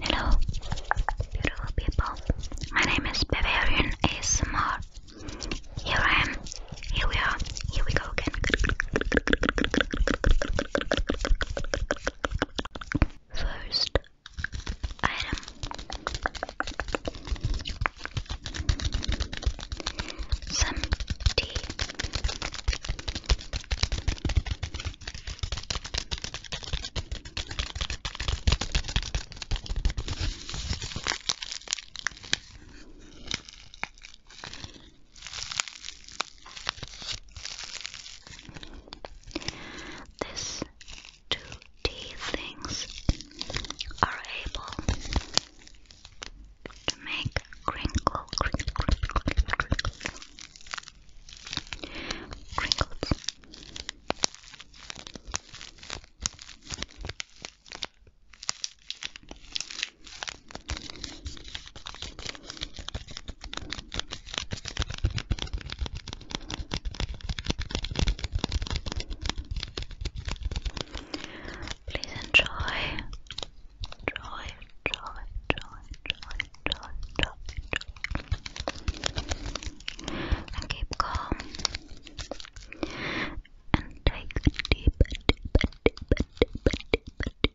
Hello, beautiful people. My name is Bavarian ASMR. Here I am. Here we are. Here we go again. First, item. Some tea these two D things are able to make crinkle, crinkle, crinkle, crinkle, crinkle. crinkles. Please enjoy. Enjoy, enjoy, enjoy, enjoy, enjoy, enjoy, And keep calm. And take a deep, deep, deep, deep, deep, deep, deep,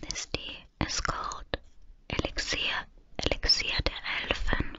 This tea is called Elixir, Elixir der Elfen.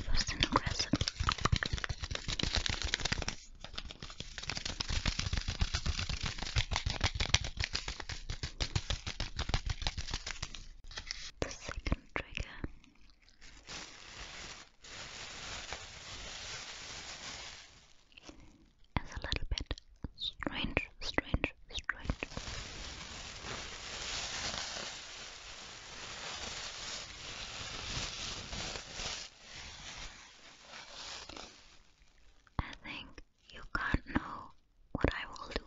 Fast and aggressive. The second trigger as a little bit strange, strange, strange. I think you can't know what I will do.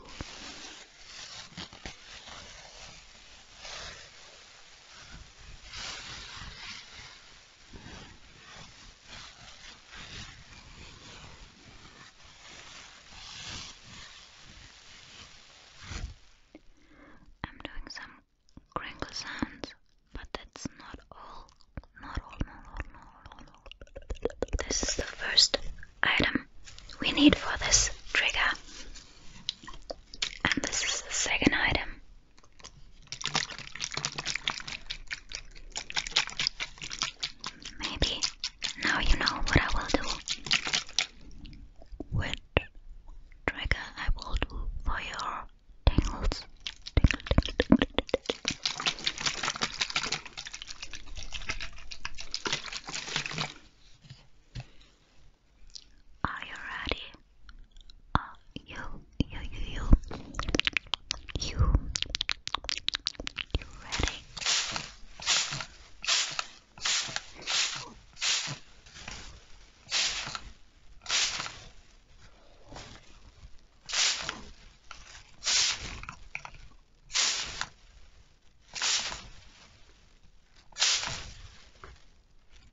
I'm doing some crinkle sounds, but that's not all. Not all, not all, not all, not all. This is the first item we need for this trigger, and this is the second item. Maybe now you know what I will do. Which trigger I will do for your tingles. Tingle, tingle, tingle, tingle. Are you ready? Are you, you, you, you, you, you ready?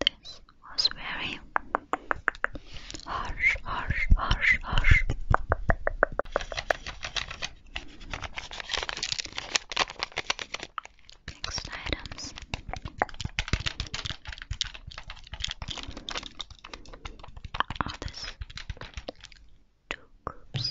This was very harsh, harsh, harsh, harsh. Next items. Are this two groups?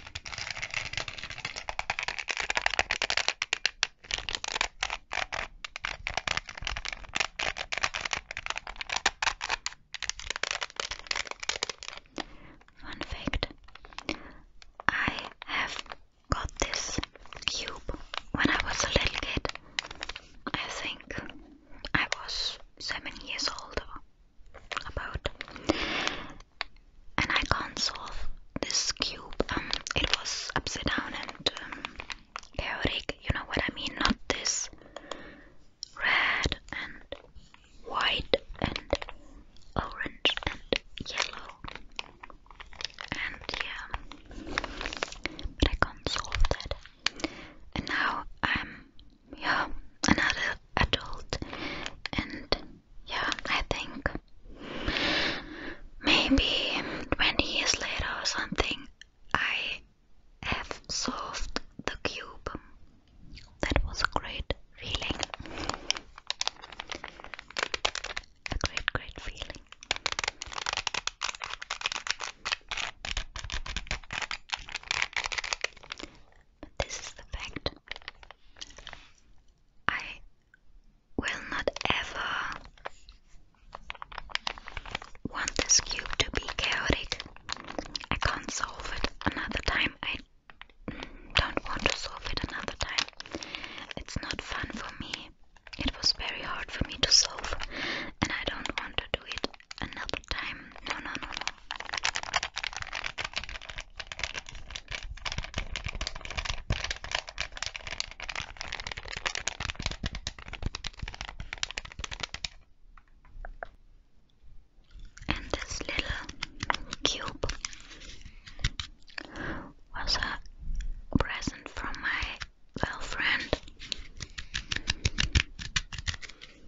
Fun fact I have got this cube when I was a little kid. I think I was seven years old or about and I can't solve this cube. Um, it was upside down and um, chaotic, you know what I mean? Not this red and white and orange and yellow. And yeah, but I can't solve that. And now I'm yeah, another adult, and yeah, I think maybe 20 years later or something, I have solved the cube. That was a great feeling. A great, great feeling this is the fact. I will not ever want this cube to be chaotic. I can't solve it another time. I don't want to solve it another time. It's not fun for me. It was very hard for me to solve, and I don't want to do it another time. No, no, no, no. And this little cube was a present from my girlfriend.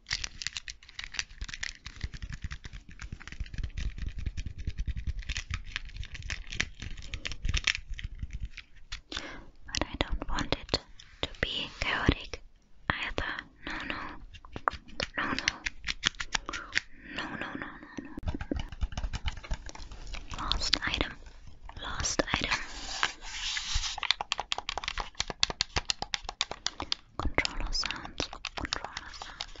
But I don't want it to be chaotic either. No, no, no, no, no, no, no, no, no. Lost item, lost item. Controller sounds, controller sounds.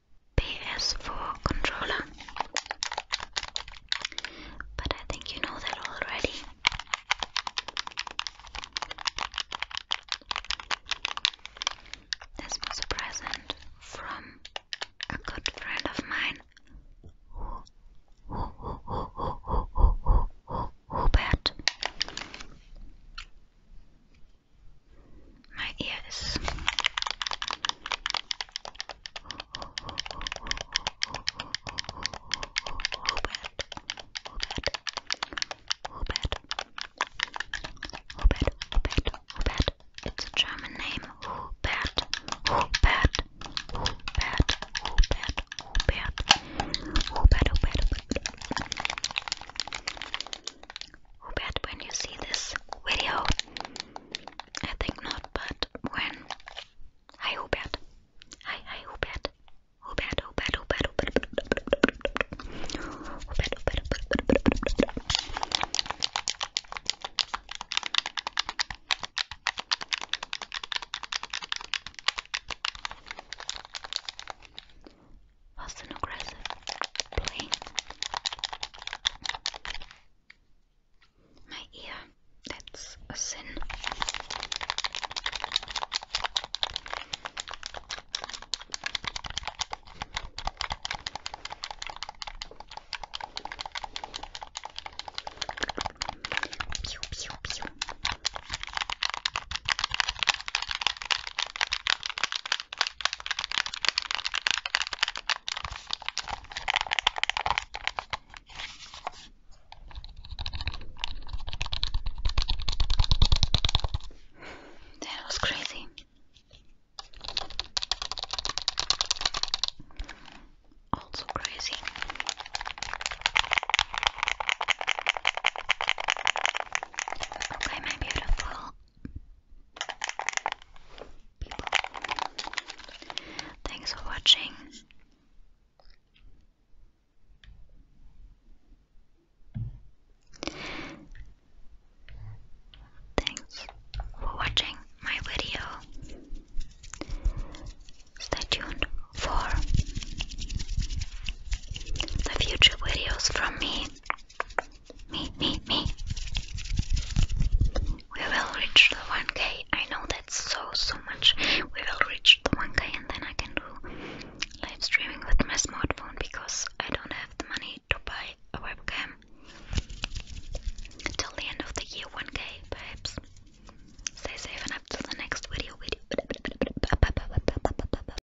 PS4 controller, but I think you know that already. This was a present from a good friend of mine, Hubert my ears. Oh, oh, oh, oh, oh, oh, oh, oh, Hubert, it's a German name, Hubert, Hubert, Hubert, Hubert, Hubert, Hubert, Hubert but when you see this video, I think not, but when, hi Hubert, hi, hi Hubert, Hubert, Hubert, Hubert, Hubert, Hubert, Hubert, Hubert, fast and aggressive playing. My ear, that's a sin. Pew, pew, pew. That was crazy. Also crazy. Okay, my beautiful. Thanks for watching. Thanks for watching my video. Stay tuned for the future videos from me. Me, me, me. We will reach the 1k. I know that's so, so much. We will reach the 1k and then I can do live streaming with my smartphone because I don't have the money to buy a webcam. Till the end of the year, 1k perhaps. Stay safe and up the next video. video.